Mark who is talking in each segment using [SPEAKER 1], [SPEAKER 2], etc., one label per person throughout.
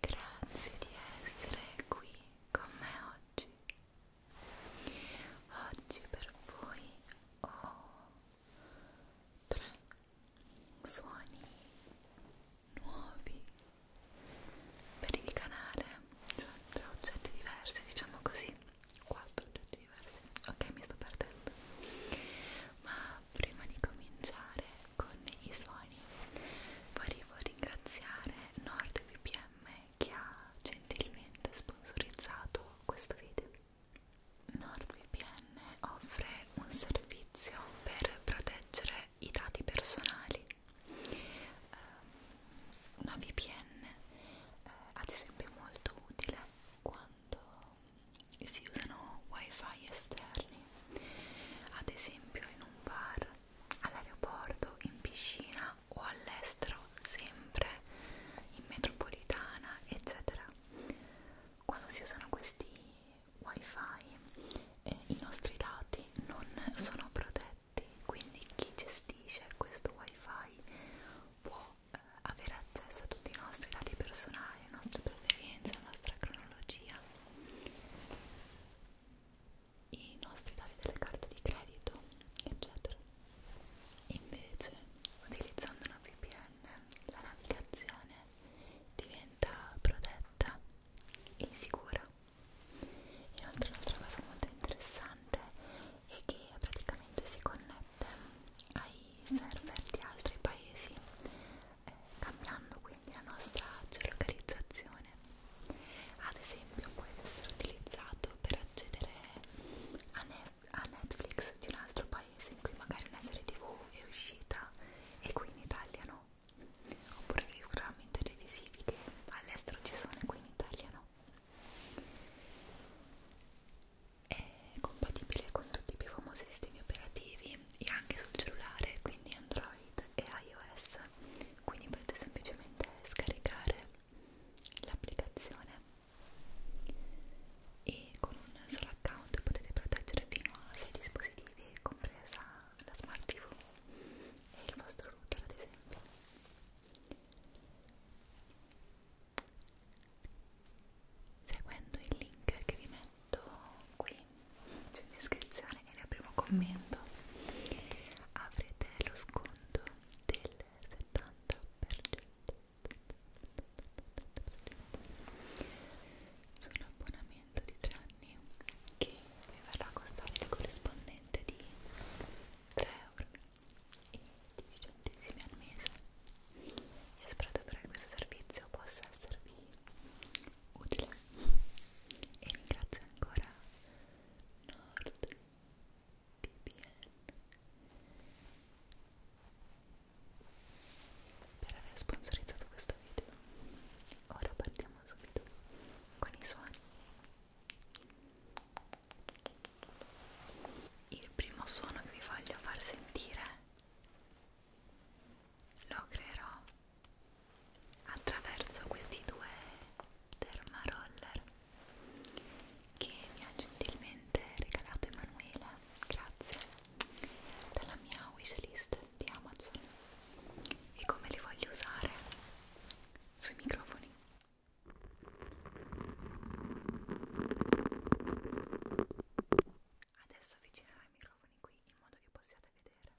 [SPEAKER 1] Grazie di essere qui con me oggi. Oggi per voi ho tre suoni nuovi per il canale, cioè tre oggetti diversi, diciamo così, quattro oggetti diversi. Ok, mi sto perdendo. Ma prima di cominciare con i suoni volevo ringraziare NordVPN che ha gentilmente sponsorizzato questo video NordVPN offre un servizio per proteggere i dati personali ehm, una VPN eh, ad esempio è molto utile quando si usano wifi esterni ad esempio in un bar all'aeroporto, in piscina o all'estero, sempre in metropolitana, eccetera. Quando si usano questi wifi, eh, i nostri dati non sono protetti, quindi chi gestisce questo wifi può eh, avere accesso a tutti i nostri dati personali, le nostre preferenze, la nostra cronologia i nostri dati delle carte di credito, eccetera. Invece, utilizzando una VPN, la navigazione diventa protetta e sicura. Inoltre, un'altra cosa molto interessante è che praticamente si connette ai server di altri paesi, eh, cambiando quindi quindi la nostra geolocalizzazione ad esempio può essere utilizzato per accedere a, ne a Netflix di un altro paese in cui magari una serie tv è uscita e qui in Italia no oppure dei programmi televisivi che all'estero ci sono e qui in Italia no è compatibile con tutti i più famosi sistemi operativi e anche sul cellulare quindi Android e iOS quindi potete semplicemente scaricare l'applicazione e con un solo account potete proteggere fino a 6 dispositivi compresa la smart tv e il vostro router ad esempio seguendo il link che vi metto qui giù in descrizione e nel primo commento avrete lo sconto del 70% sull'abbonamento di 3 anni che vi verrà a costare il corrispondente di 3 euro e 10 centesimi al mese e spero davvero che questo servizio possa esservi utile e ringrazio ancora Nord TPN per aver sponsorizzato questo video ora partiamo subito con i suoni il primo suono che vi voglio far sentire lo creerò attraverso questi due dermaroller che mi ha gentilmente regalato Emanuela grazie dalla mia wishlist di Amazon e come li voglio usare sui microfoni adesso avvicinerò i microfoni qui in modo che possiate vedere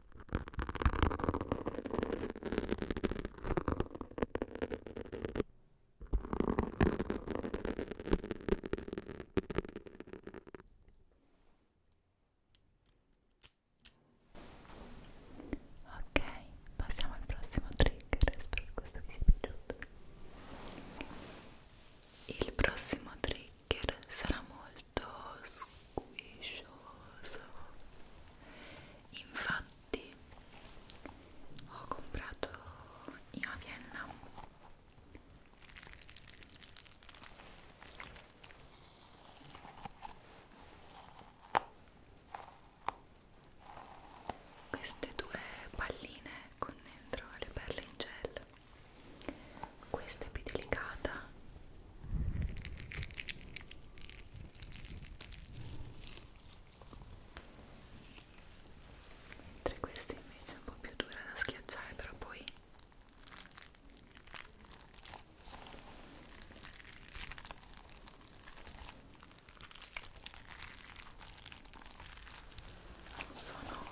[SPEAKER 1] Ok, passiamo al prossimo trigger, spero che questo vi sia piaciuto. Il prossimo trigger sarà molto molto squiscioso infatti ho comprato io a Vienna queste due palline con dentro le perle in gel questa è più delicata mentre questa invece è un po' più dura da schiacciare però poi non sono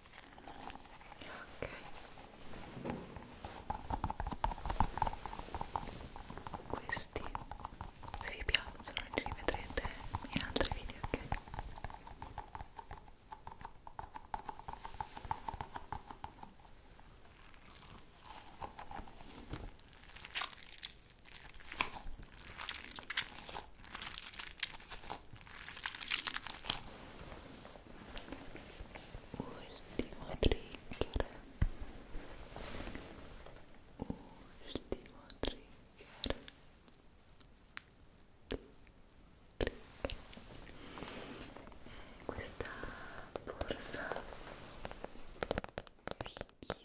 [SPEAKER 1] ok questi se vi piacciono ci rivedrete in altri video ok Ultimo trigger. Ultimo trigger. trigger. Questa borsa fighissima.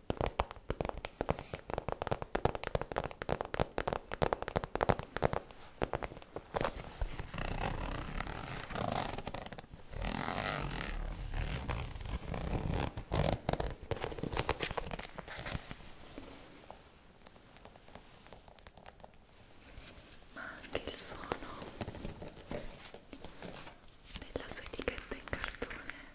[SPEAKER 1] ma anche il suono della sua etichetta in cartone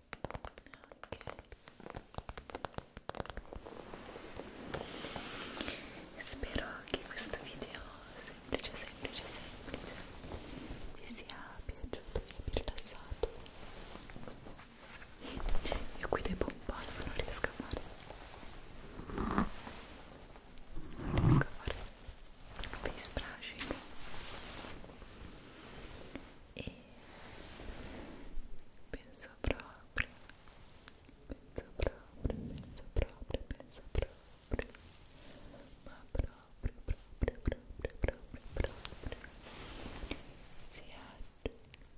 [SPEAKER 1] ok spero che questo video semplice semplice semplice vi sia piaciuto e vi rilassato io qui devo un po' non riesco a fare non riesco a fare face brushing e penso proprio penso proprio penso proprio penso proprio ma proprio proprio proprio proprio proprio si addu Bene,